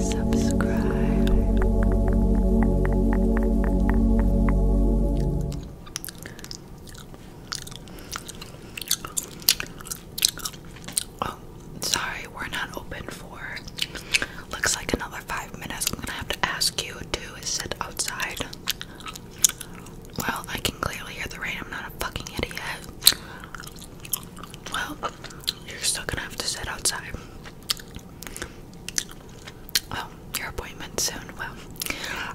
Subscribe. Oh, sorry, we're not open for looks like another five minutes. I'm gonna have to ask you to sit outside. Well, I can clearly hear the rain. I'm not a fucking idiot. Well, you're still gonna have to sit outside. Oh, your appointment's soon. Well,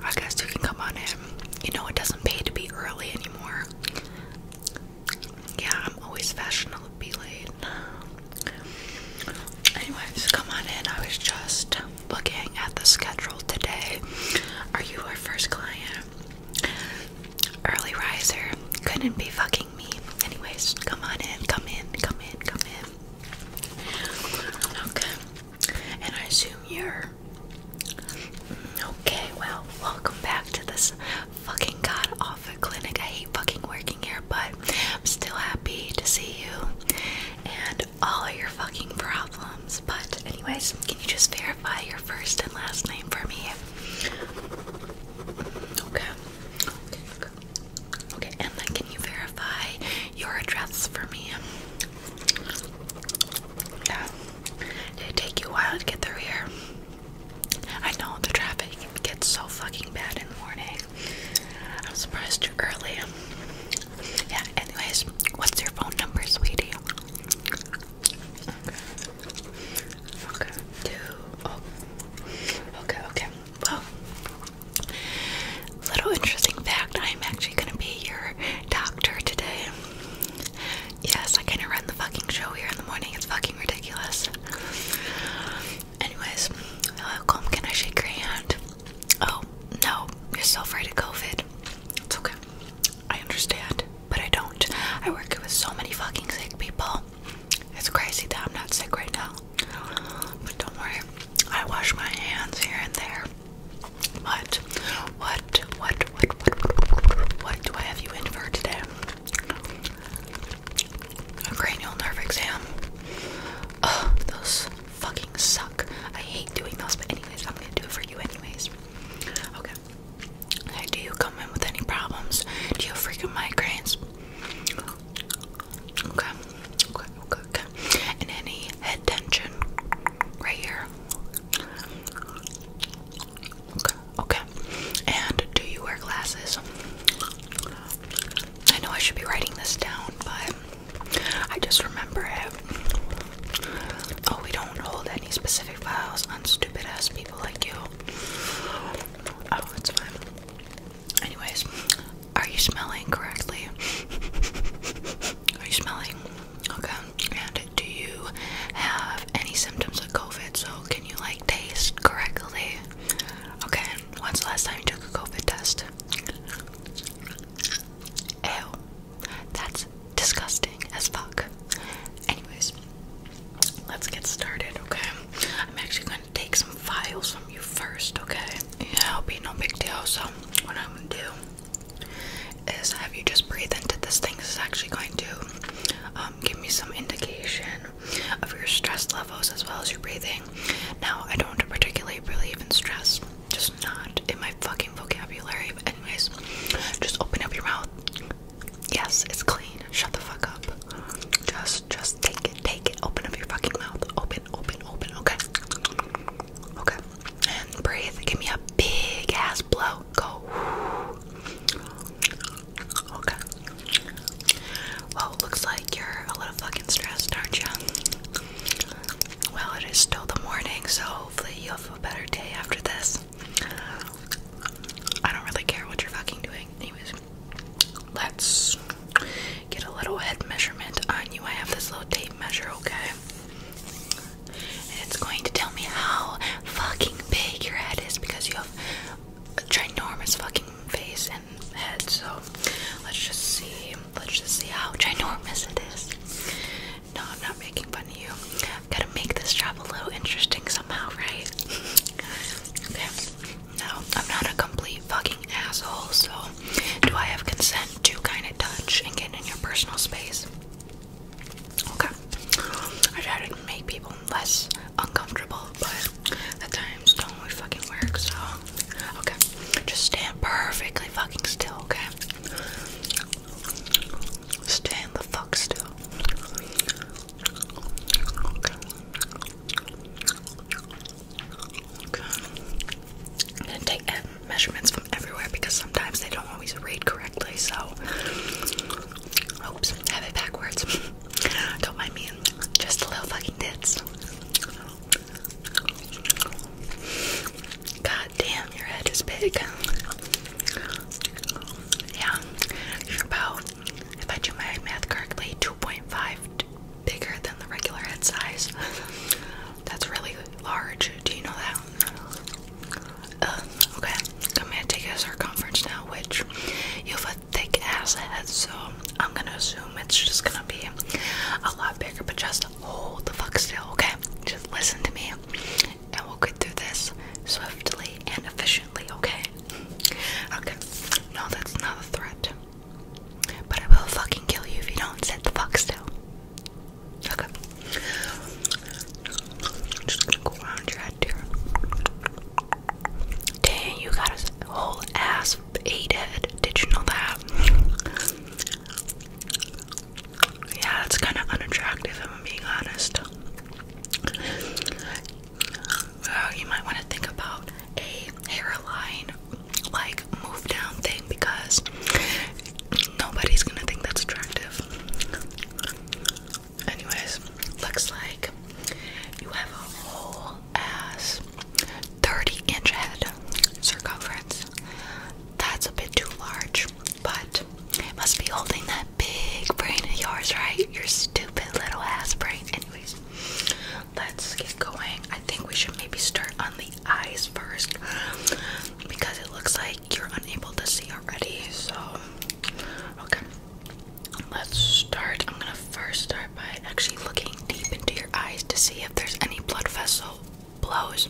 I guess you can come on in. You know, it doesn't pay to be early anymore. Yeah, I'm always fashionable to be late. Anyways, come on in. I was just looking at the schedule today. Are you our first client? Early riser. Couldn't be fucking me. Anyways, come on in, come in, come in, come in. Okay. And I assume you're. Okay, well, welcome back to this fucking god awful clinic. I hate fucking working here, but I'm still happy to see you and all your fucking problems. But, anyways, can you just verify? verify your first and last name for me? Okay. Okay. Okay, and then can you verify your address for me? Yeah. Did it take you a while to get through here? I know the traffic gets so fucking bad in the morning. I'm surprised you're early. Yeah, anyways, what's your phone number, sweetie? Okay. Okay. Two. Okay. Okay. Well, little interesting fact. I'm actually gonna be your doctor today. Yes, I kind of run the fucking show here in the morning. It's fucking ridiculous. Anyways, welcome. Can I shake your hand? Oh no, you're so afraid of COVID. It's okay. I understand, but I don't. I work with so many fucking sick people. It's crazy that I'm not sick right now. But don't worry, I wash my hands here and there. But what, what, what, what, what do I have you in for today? A cranial nerve exam. Oh, those fucking suck. I hate doing those, but anyways, I'm gonna do it for you anyways. Okay. Okay, do you come in with any problems? Do you have freaking migraines? Okay. Okay, okay, okay. And any head tension right here? Okay, okay. And do you wear glasses? I know I should be writing this down, but I just remember Oh, we don't hold any specific files on stupid ass people like you. Oh, it's fine. Anyways, are you smelling correctly? Are you smelling? Okay. And do you have any symptoms of COVID? So can you like taste correctly? Okay. When's the last time you took a COVID test? Ew. That's disgusting as fuck. Anyways, let's get started, okay? I'm actually going to take some files from you first, okay? Yeah, it'll be no big deal. So, what I'm going to do is have you just breathe into this thing. This is actually going to um, give me some indication of your stress levels as well as your breathing. Now, I don't want to particularly believe in stress just not in my fucking vocabulary. But anyways, just open up your mouth. Yes, it's clean. Shut the fuck up. Just, just take it, take it. Open up your fucking mouth. Open, open, open. Okay. Okay. And breathe. Give me a big ass blow. Go. Okay. Well, looks like you're a little fucking stressed, aren't you? Well, it is still the morning, so hopefully you will a better day after this. I don't really care what you're fucking doing. Anyways, let's get a little head measurement on you. I have this little tape measure, okay? And it's going to tell me how fucking big your head is because you have a ginormous fucking face and head. So let's just see. Let's just see how ginormous it is. No, I'm not making fun of you. I've gotta make this job a little interesting somehow, right? okay. No, I'm not a complete fucking asshole, so do I have consent to kind of touch and get in your personal space? Okay. I try to make people less uncomfortable, but at times don't really fucking work, so okay. Just stand perfectly fucking still, okay? Stand the fuck still. Okay. Okay. i take measurements from everywhere because sometimes they don't always read correctly, so. Oops, have it backwards. don't mind me. Just a little fucking tits. God damn, your head is big. Yeah, you're about, if I do my math correctly, 2.5 bigger than the regular head size. That's really large. Do you know that? Uh, okay, I'm gonna take a circumference now, which you have a thick ass head, so I'm gonna assume it's just gonna be a lot bigger, but just hold the fuck still, okay? Just listen to me and we'll get through this swiftly and efficiently, okay? Okay, no, that's not a threat. But I will fucking kill you if you don't set the fuck still. Okay. just gonna go around your head here. Dang, you got a whole ass eight Did you know that? Yeah, that's kind of unattractive if I'm being honest. you might want to think about a hairline like move down thing because nobody's gonna think that's attractive. Anyways, looks like you have a whole ass 30 inch head circumference. That's a bit too large. But it must be holding that big brain of yours, right? Your stupid little ass brain. Anyways, let's get going. I think we should maybe start on the eyes first because it looks like you're unable to see already. So, okay, let's start. I'm gonna first start by actually looking deep into your eyes to see if there's any blood vessel blows.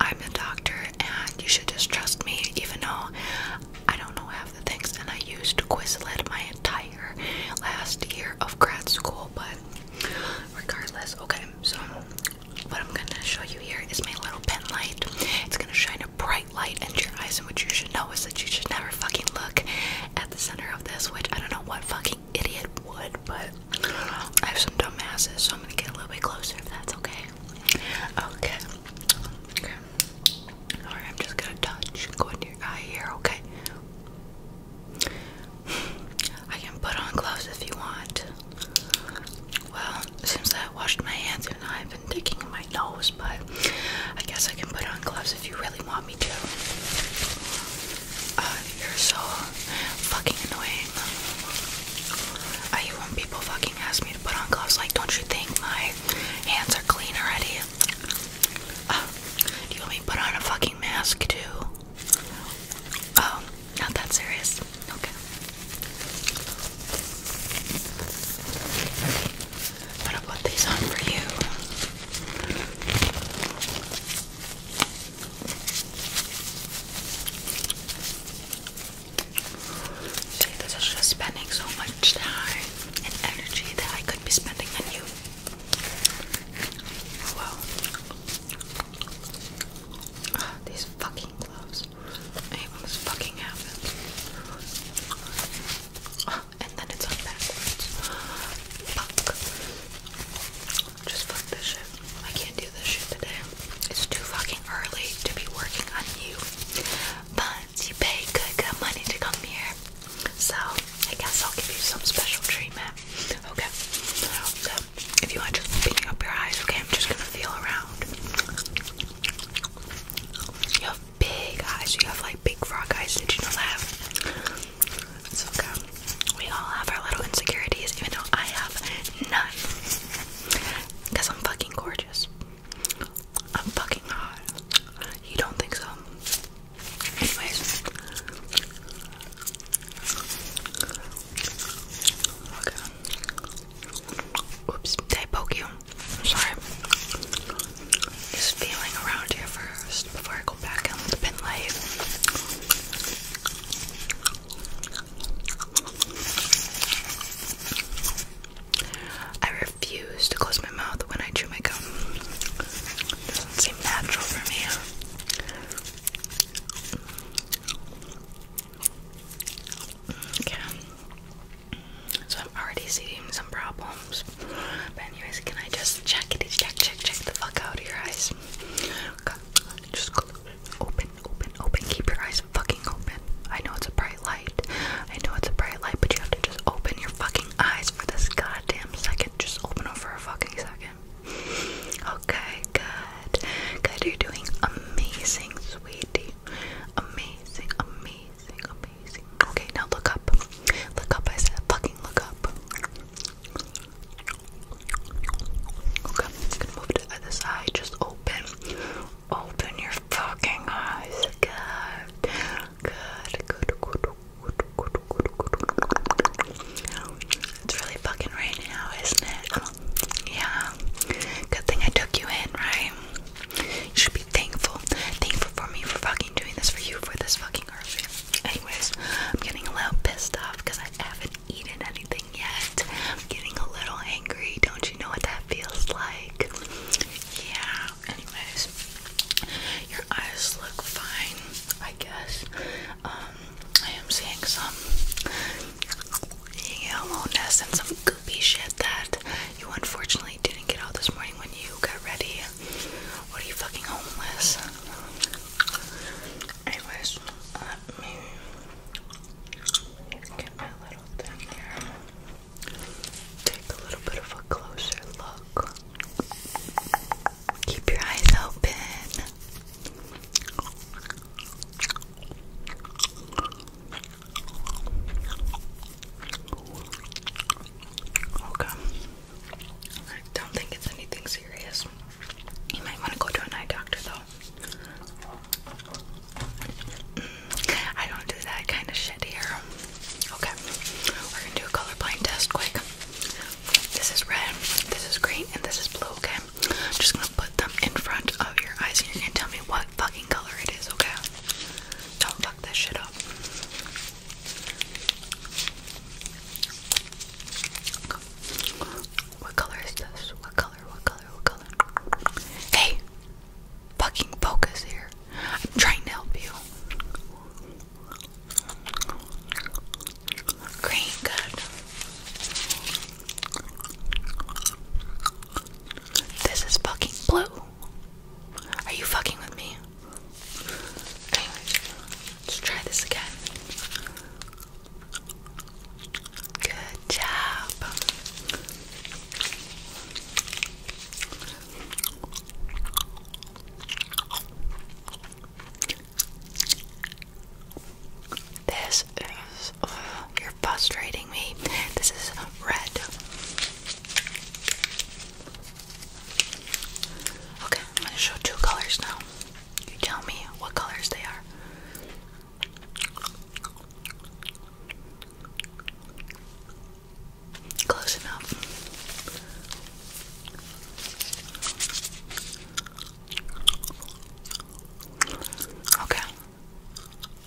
I'm the doctor and you should just trust me even though I don't know half the things and I used Quizlet my entire last year of grad school but regardless, okay, so what I'm gonna show you here is my little pen light. It's gonna shine a bright light into your eyes and what you should know is that you should never fucking look at the center of this, which I don't know what fucking idiot would, but I have some dumbasses, so I'm gonna get a little bit closer if that's okay. Okay. Alright, I'm just gonna touch. Go into your eye here, okay? I can put on gloves if you want. Well, seems that I washed my hands and I've been digging in my nose, but I guess I can put on gloves if you really want me to. Uh, you're so fucking annoying. I hate when people fucking ask me to put on gloves. Like, don't you think my hands are clean already? Uh, do you want me to put on a fucking mask too? Oh, not that serious. Okay. I'm put these on for you. See, this is just spending so much time and energy that I could be spending on you. Oh, wow. Ah, these fucking gloves. I hate fucking happens. Ah, and then it's on backwards. Fuck. Just fuck this shit. I can't do this shit today. It's too fucking early to be working on you. But you pay good, good money to come here. So I guess I'll give you some special treatment. Okay. So if you want just opening up your eyes, okay, I'm just gonna feel around. You have big eyes, you have like big frog eyes, did you know that? It's okay. We all have our little insecurities, even though I have none. Because I'm fucking gorgeous. I'm fucking hot. You don't think so? Anyways. Oops, did poke you? sorry. Just feeling around here first before I go back in the pin light. I refuse to close my mouth when I chew my gum. does natural for me. Okay. So I'm already seeing some problems. But anyways, can I just check it? Check, check, check the fuck out of your eyes. Okay. Open, open, open. Keep your eyes fucking open. I know it's a bright light. I know it's a bright light, but you have to just open your fucking eyes for this goddamn second. Just open them for a fucking second. Okay, good. Good, you're doing amazing, sweetie. Amazing, amazing, amazing. Okay, now look up. Look up, I said fucking look up. Okay, I'm move to the other side. Just open, Open your fucking eyes. Good. Good. Good. Good. Good. Good. Good. It's really fucking rain now, isn't it? Yeah. Good thing I took you in, right? You should be thankful. Thankful for me for fucking doing this for you for this fucking early. Anyways, I'm getting a little pissed off because I haven't eaten anything yet. I'm getting a little angry. Don't you know what that feels like? Yeah. Anyways, your eyes look fine, I guess. Um, I am seeing some yellowiness and some goopy shit that you unfortunately didn't get out this morning when you got ready. What are you fucking homeless? Anyways, let Take a little bit of a closer look. Keep your eyes open. Okay. I don't think it's anything serious. You might want to go to an eye doctor though. I don't do that kind of shit here. Okay, we're gonna do a colorblind test quick. This is red, this is green, and this is blue, okay? I'm just gonna put them in front of your eyes and you're gonna tell me what fucking color it is, okay? Don't fuck that shit up. What color is this? What color Hey! Fucking focus here. I'm trying to help you. Green, good. This is fucking blue. Are you fucking with me? Okay, let's try this again. Good job. This is oh, frustrating me. This is red. Okay, I'm gonna show two colors now. You tell me what colors they are. Close enough. Okay.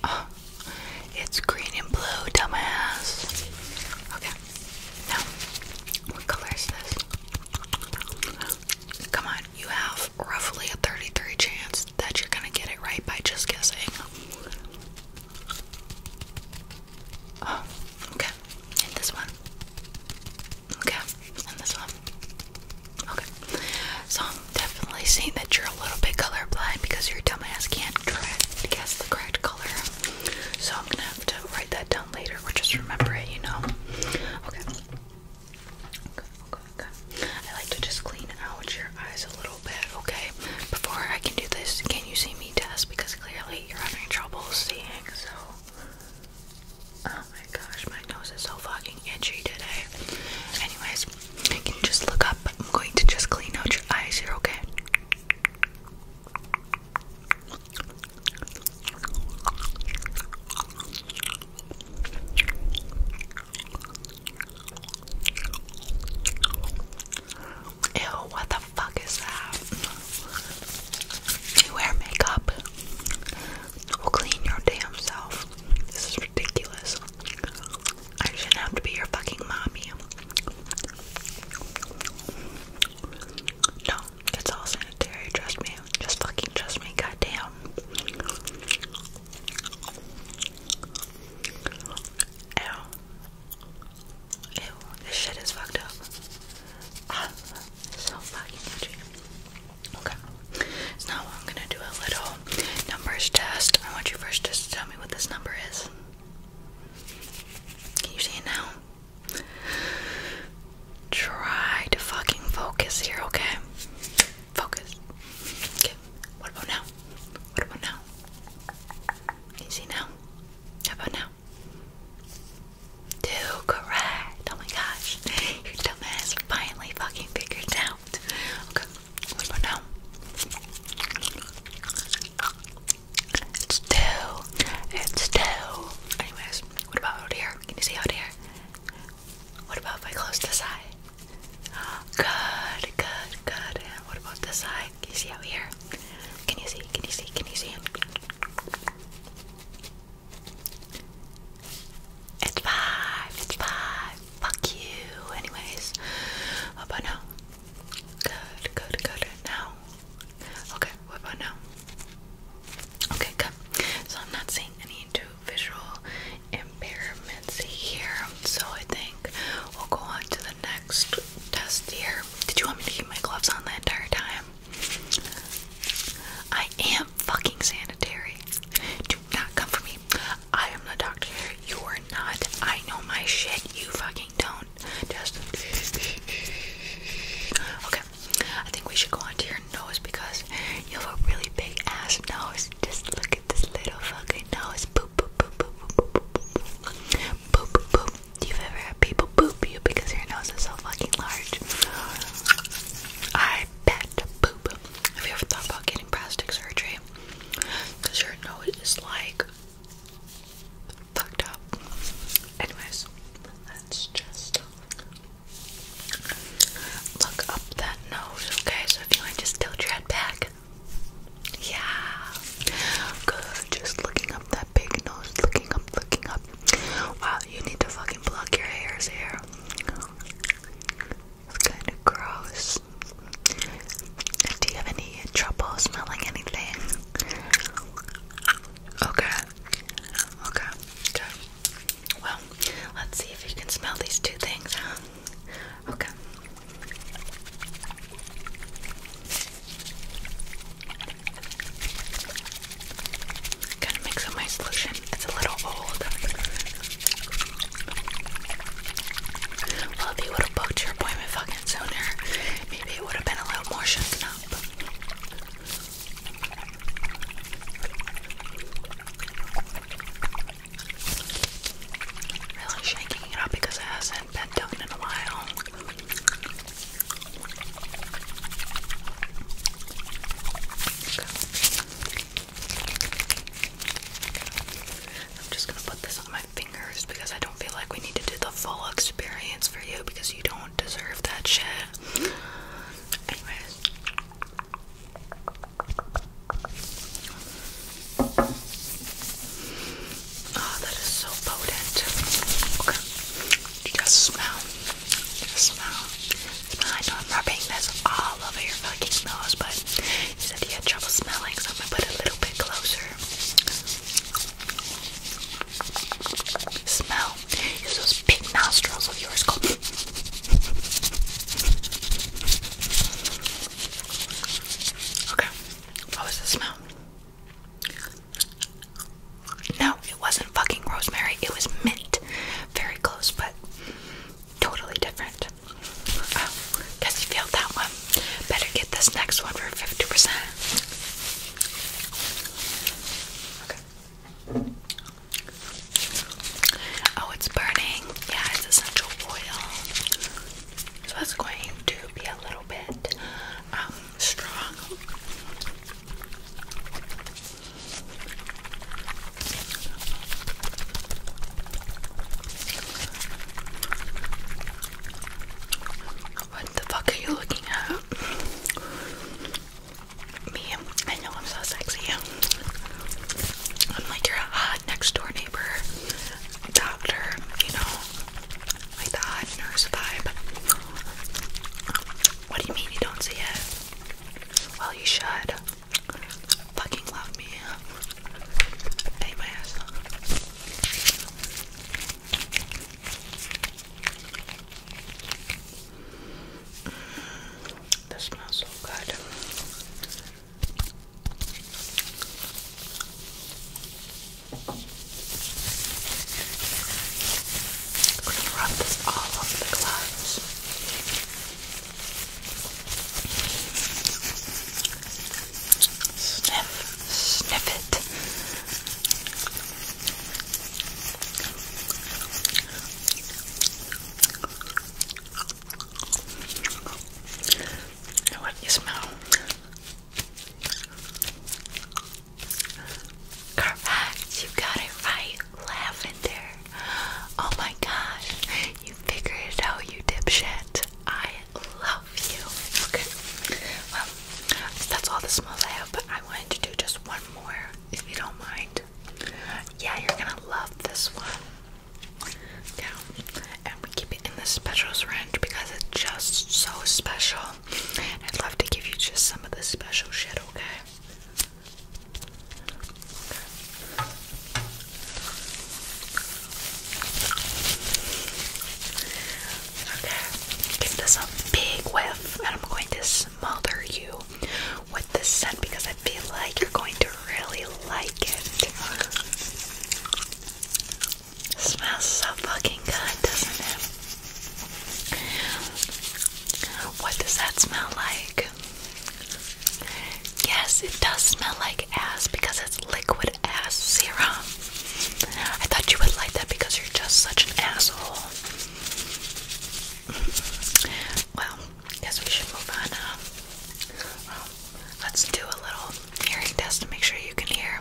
Oh, it's green and blue, dumbass. Okay. Now, what color this? Come on you have roughly a 33 chance that you're gonna get it right by just guessing. Oh, okay. And this one. Okay. And this one. Okay. So I'm definitely seeing that you're a little bit color blind because your dumb ass can't guess the correct color. So I'm gonna have to write that down later or just remember it, you know? Okay. I like to just clean out your eyes a little bit, okay? Before I can do this, can you see me test? Because clearly you're having trouble seeing, so. Oh my gosh, my nose is so fucking itchy today. Anyways, can you just look up? I'm going to just clean out your eyes You're okay? Ew, what the fuck is that? You wear makeup. clean your damn self. This is ridiculous. I shouldn't have to be your fucking mommy. No, it's all sanitary, trust me. Just fucking trust me, goddamn. Ew. Ew. This shit is fucked up. I'm ah, so fucking crazy. Okay. now I'm gonna do a little numbers test. I want you first just to tell me what this number is. Can you see it now? Try to fucking focus here, okay? Focus. What about now? What about now? Easy now. How about now? Two, correct. Oh my gosh. Your dumbass finally fucking figured out. Okay, what about now? It's two. It's two. Anyways, what about out here? Can you see out here? What about if I close this eye? Good, good, good. what about this eye? Can you see out here? Can you see? Can you see? Can you see? It's five. It's five. Fuck you. Anyways. What oh, about now? Good, good, good. Now. Okay, what about now? Okay, good. So I'm not seeing any two visual impairments here. So I think we'll go on to the next test here. Did you want me to keep my gloves on the entire time? I am fucking sanitary. Do not come for me. I am the doctor. You are not. I know my shit. You fucking don't. Just. Okay. I think we should go on to your nose because you have a really big ass nose. Just look look at this little fucking nose. Boop, boop, boop, boop, boop, boop, boop, boop, boop, boop. You've ever had people boop you because your nose is so fucking large? I bet boop. Have you ever thought about getting plastic surgery? Because your nose is like fucked up. Anyways, let's just look up that nose, okay? So if you want, just tilt your head back. Yeah. Good. Just looking up that big nose. Looking up, looking up. Wow, you need to fucking block your hairs here. It's kind of gross. Do you have any trouble smelling anything? Okay. Okay. Okay. Well, let's see if you can smell these two things, huh? Okay. Kind of mix up my solution. It's a little old. Well, would have booked your appointment fucking sooner, maybe it would have been a little more shaken up. Really shaking it up because it hasn't been done in a while. I'm just gonna put this on my fingers because I don't feel like we need to do the full experience for you because you don't deserve that shit. Anyways. Oh, that is so potent. Okay. just smell. smell. Smell. I know I'm rubbing this all over your fucking nose, but you said you had trouble smelling, so I'm gonna put a little bit closer. Smell. Use those big nostrils of yours. Go. Okay, what was the smell? No, it wasn't fucking rosemary, it was mint. Very close, but totally different. Oh, guess you failed that one. Better get this next one for 50%. Okay. Oh, it's burning. Yeah, it's essential oil. it's going to be a little bit um, strong. What the fuck are you looking at? Me, I know I'm so sexy. I'm like your hot next door neighbor, doctor, you know, like the nurse vibe. What do you mean you don't see it? Well, you should. Fucking love me. Hey, my ass. This smells so good. I'm going to rub this all over the gloves. Sniff, sniff it. What you smell? Correct, you got it right. Lavender. Oh my gosh, you figured it out, you dipshit. I love you. Okay, well, that's all the smells I have, but I wanted to do just one more, if you don't mind. Yeah, you're gonna love this one. Yeah, and we keep it in the specials range because it's just so special. I'd love to give you just some of the special shit, okay? Okay, give this a big whiff, and I'm going to smother you with this scent because I feel like you're going to really like it. Smells so fucking good, doesn't it? What does that smell like? Yes, it does smell like ass because it's liquid ass serum. I thought you would like that because you're just such an asshole. Well, guess we should move on. Um, um, let's do a little hearing test to make sure you can hear.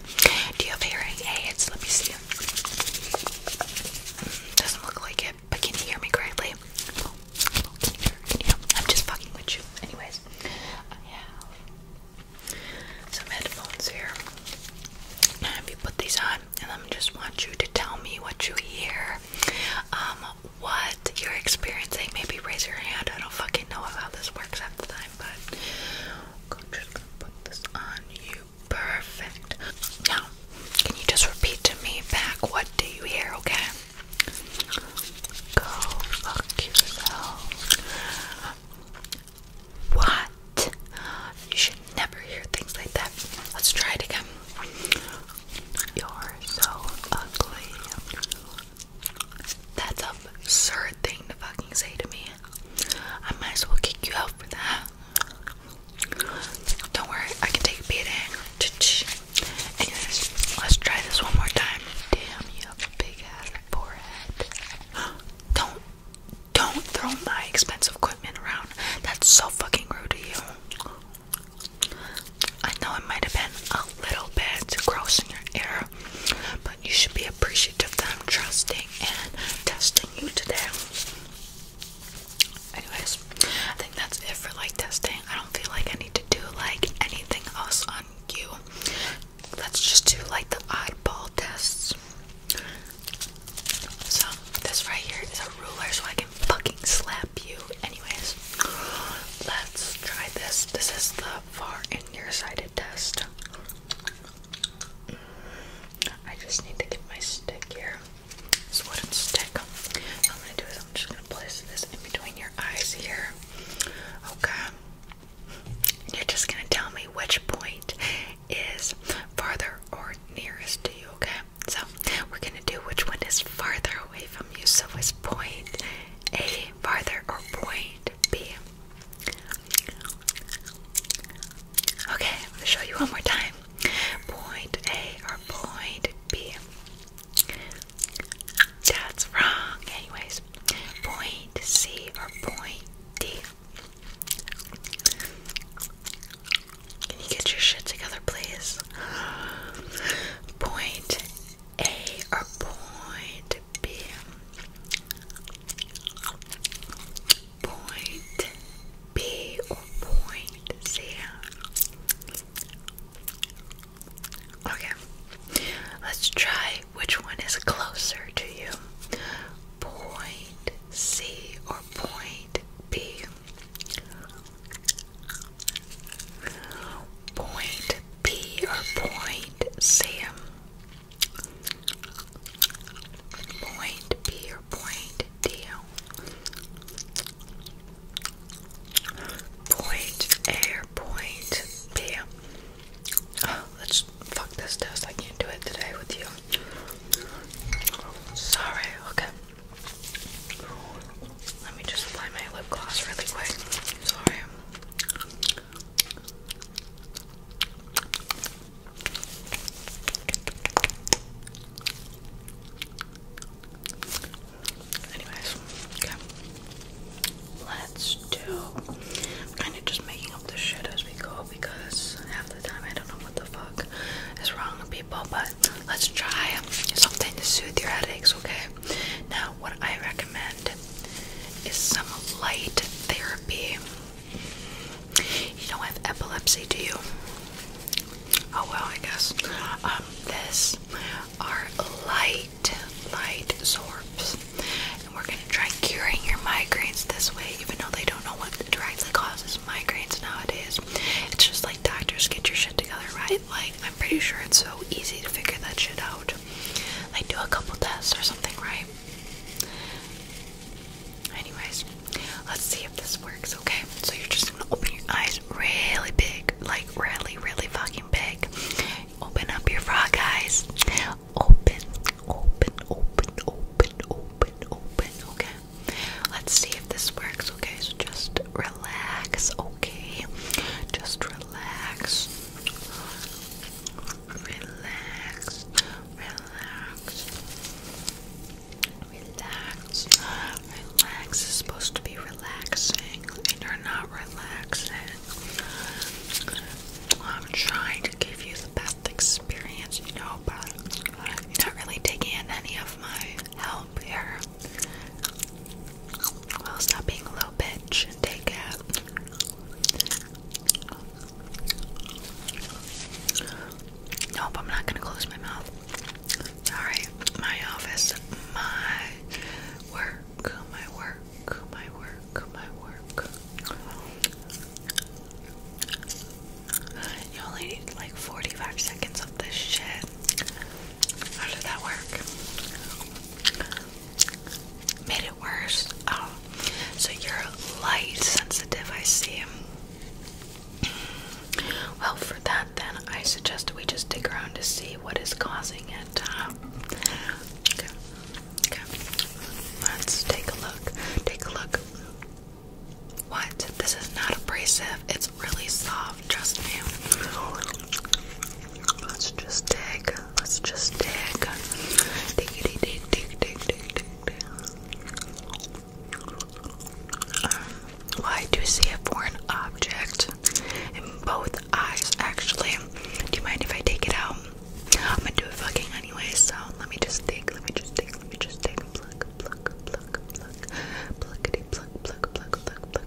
Do you have hearing aids? Let me see. Mm, doesn't look like it, but can you hear me correctly? Oh, I'm just fucking with you. Anyways, I some headphones here. if you put these on, and I'm just want you to tell me what you hear. Um, what you're experiencing. Maybe raise your hand. I don't fucking know how this works half the time, but I'm just gonna put this on you. Perfect. Now, can you just repeat to me back what do you hear, okay? Go fuck yourself. What? You should never hear things like that. Let's try it again. You're so ugly. That's an absurd thing to fucking say to me. I might as well kick you out for that. Don't worry, I can take a beating. Anyways, let's try this one more time. Damn, you big ass forehead. Don't, don't throw my expensive equipment around. That's so fucking rude to you. I know it might have been a little bit gross in your ear, but you should be appreciative of them trusting and testing you today. Anyways, I think that's it for like testing. I don't feel like I need to do like anything else on you. Let's just do like the oddball tests. So this right here is a ruler so I can fucking slap you. Anyways, let's try this. This is the far and nearsighted test. Mm, I just need to get my stick here. It's wooden stick. What I'm gonna do is I'm just gonna place this in between your eyes here. Okay. You're just gonna tell me which point is farther or nearest to you, okay? So we're gonna to do which one is farther away from you. So is point A farther or point B? Okay, I'm going to show you one more time. Point A or point B? That's wrong. Anyways, point C or point D? Can you get your shit together, please? Point a or point B. Point B or point C. Okay, let's try which one is closer to you. Point C or point B. Point B or point Sam. Point P or point D. Point A or point B. let's fuck this test. I can't do it today with you. Sorry, okay. Let me just apply my lip gloss really quick. Sorry. Anyways, Let's do. kind of just making up the shit as we go because half the time I don't know what the fuck is wrong with people, but let's try something to soothe your headaches, okay? Now, what I recommend is some light therapy. You don't have epilepsy, do you? Oh well, I guess. Um, this are light, light sorbs, and we're gonna try curing your migraines this way, even though they don't know what directly causes migraines nowadays. It's just like doctors get your shit together, right? Like I'm pretty sure it's so easy to figure that shit out. Like do a couple tests or something, right? Anyways, let's see if this works, okay? So you're just gonna open your eyes really big, like really, really fucking big. Open up your frog eyes. Open, open, open, open, open, open, okay? Let's see if this works, okay? So just relax, okay? Just relax. Relax, relax, relax. Relax is supposed to be relaxing, and you're not relaxing. I'm trying to give you the best experience, you know, but you're not really taking in any of my help here. Well, stop being a little bitch and take it. Nope, I'm not gonna close my mouth. Alright, my office, my work, my work, my work, my work. You only need like 45 seconds of this shit. How did that work? Made it worse. Oh, so you're light sensitive, I see. Well, for that, then I suggest we just dig around to see what is causing it. Um, okay, okay. Let's take a look. Take a look. What? This is not abrasive. It's it's really soft, trust me. Let's just dig. Let's just dig. Dig, dig, dig, dig, dig, dig, dig. Um, well, I do see a foreign object in both eyes, actually. Do you mind if I take it out? I'm gonna do it fucking anyway, so let me just think, let me just think, let me just think. Pluck, pluck, pluck, pluck. Pluckity, pluck, pluck, pluck, pluck, pluck,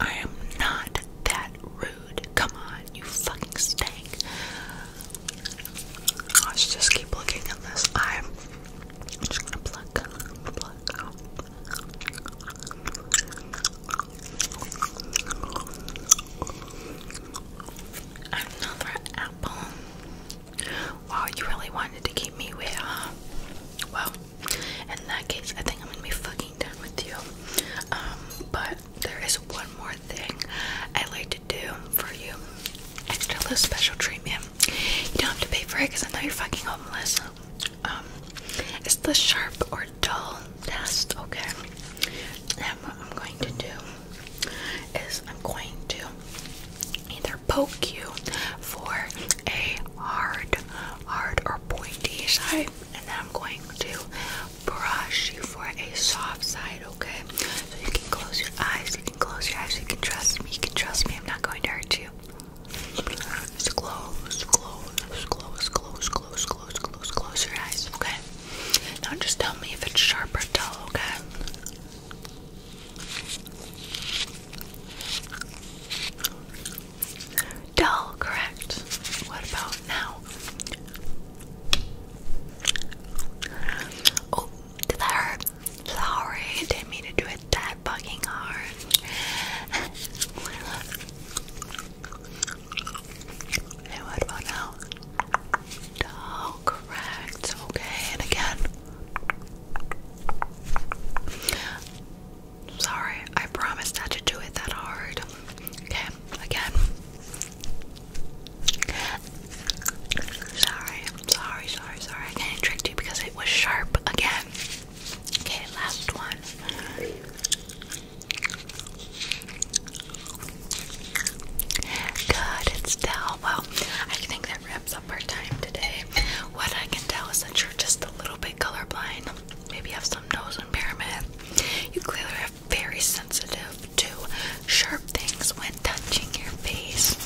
I am not that rude. Come on, you fucking stank. Let's just keep looking at this. I'm just gonna pluck, pluck. Another apple. Wow, you really wanted to keep me with, huh? Well, in that case, I think I'm gonna be fucking done with you. Um, but there is one more thing I like to do for you. Extra little special treatment. You don't have to pay for it because I know you're fucking homeless. Um, it's the sharp or dull test, okay? And what I'm going to do is I'm going to either either poke you for a hard, hard or pointy side, and then I'm going to brush you for a soft side, okay? So you can close your eyes, you can close your eyes, you can trust me, you can trust me, I'm not going to hurt you. Just close, close, close, close, close, close, close, close your eyes, okay? Now just tell me if it's sharp or dull, okay? Dull, correct. What about now? Oh, did that hurt? Sorry, didn't mean to do it that fucking hard. hey, what about now? Dull, correct. Okay, and again i sorry. I promise not to do it that hard. Okay, again. Sorry, sorry, sorry, sorry. I tricked you because it was sharp again. Okay, last one. Good, it's still well. I think that wraps what I can tell is that you're just a little bit colorblind. Maybe you have some nose impairment. You clearly are very sensitive to sharp things when touching your face.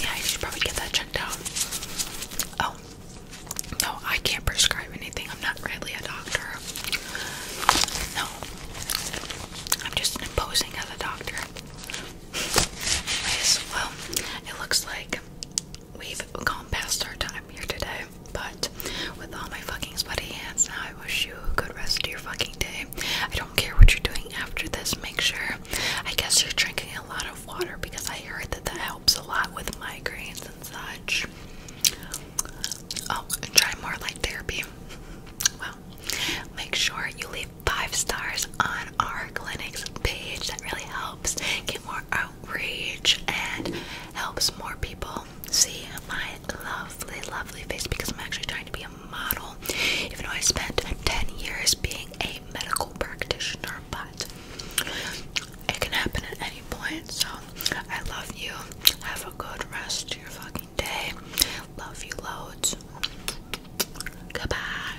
Yeah, you should probably get that checked out. Oh, no, I can't prescribe anything. I'm not really a doctor. No, I'm just imposing as a doctor. well, it looks like we've gone past our time here today. But with all my fucking sweaty hands now, I wish you a good rest of your fucking day. I don't care what you're doing after this. Make sure, I guess you're drinking a lot of water because I heard that that helps a lot with migraines and such. Oh, and try more light therapy. Well, make sure you leave five stars on our clinic's page. That really helps get more more outreach and helps more people see my lovely, lovely face because I'm actually trying to be a model, even though I spent 10 years being a medical practitioner, but it can happen at any point. So I love you. Have a good rest of your fucking day. Love you loads. Goodbye.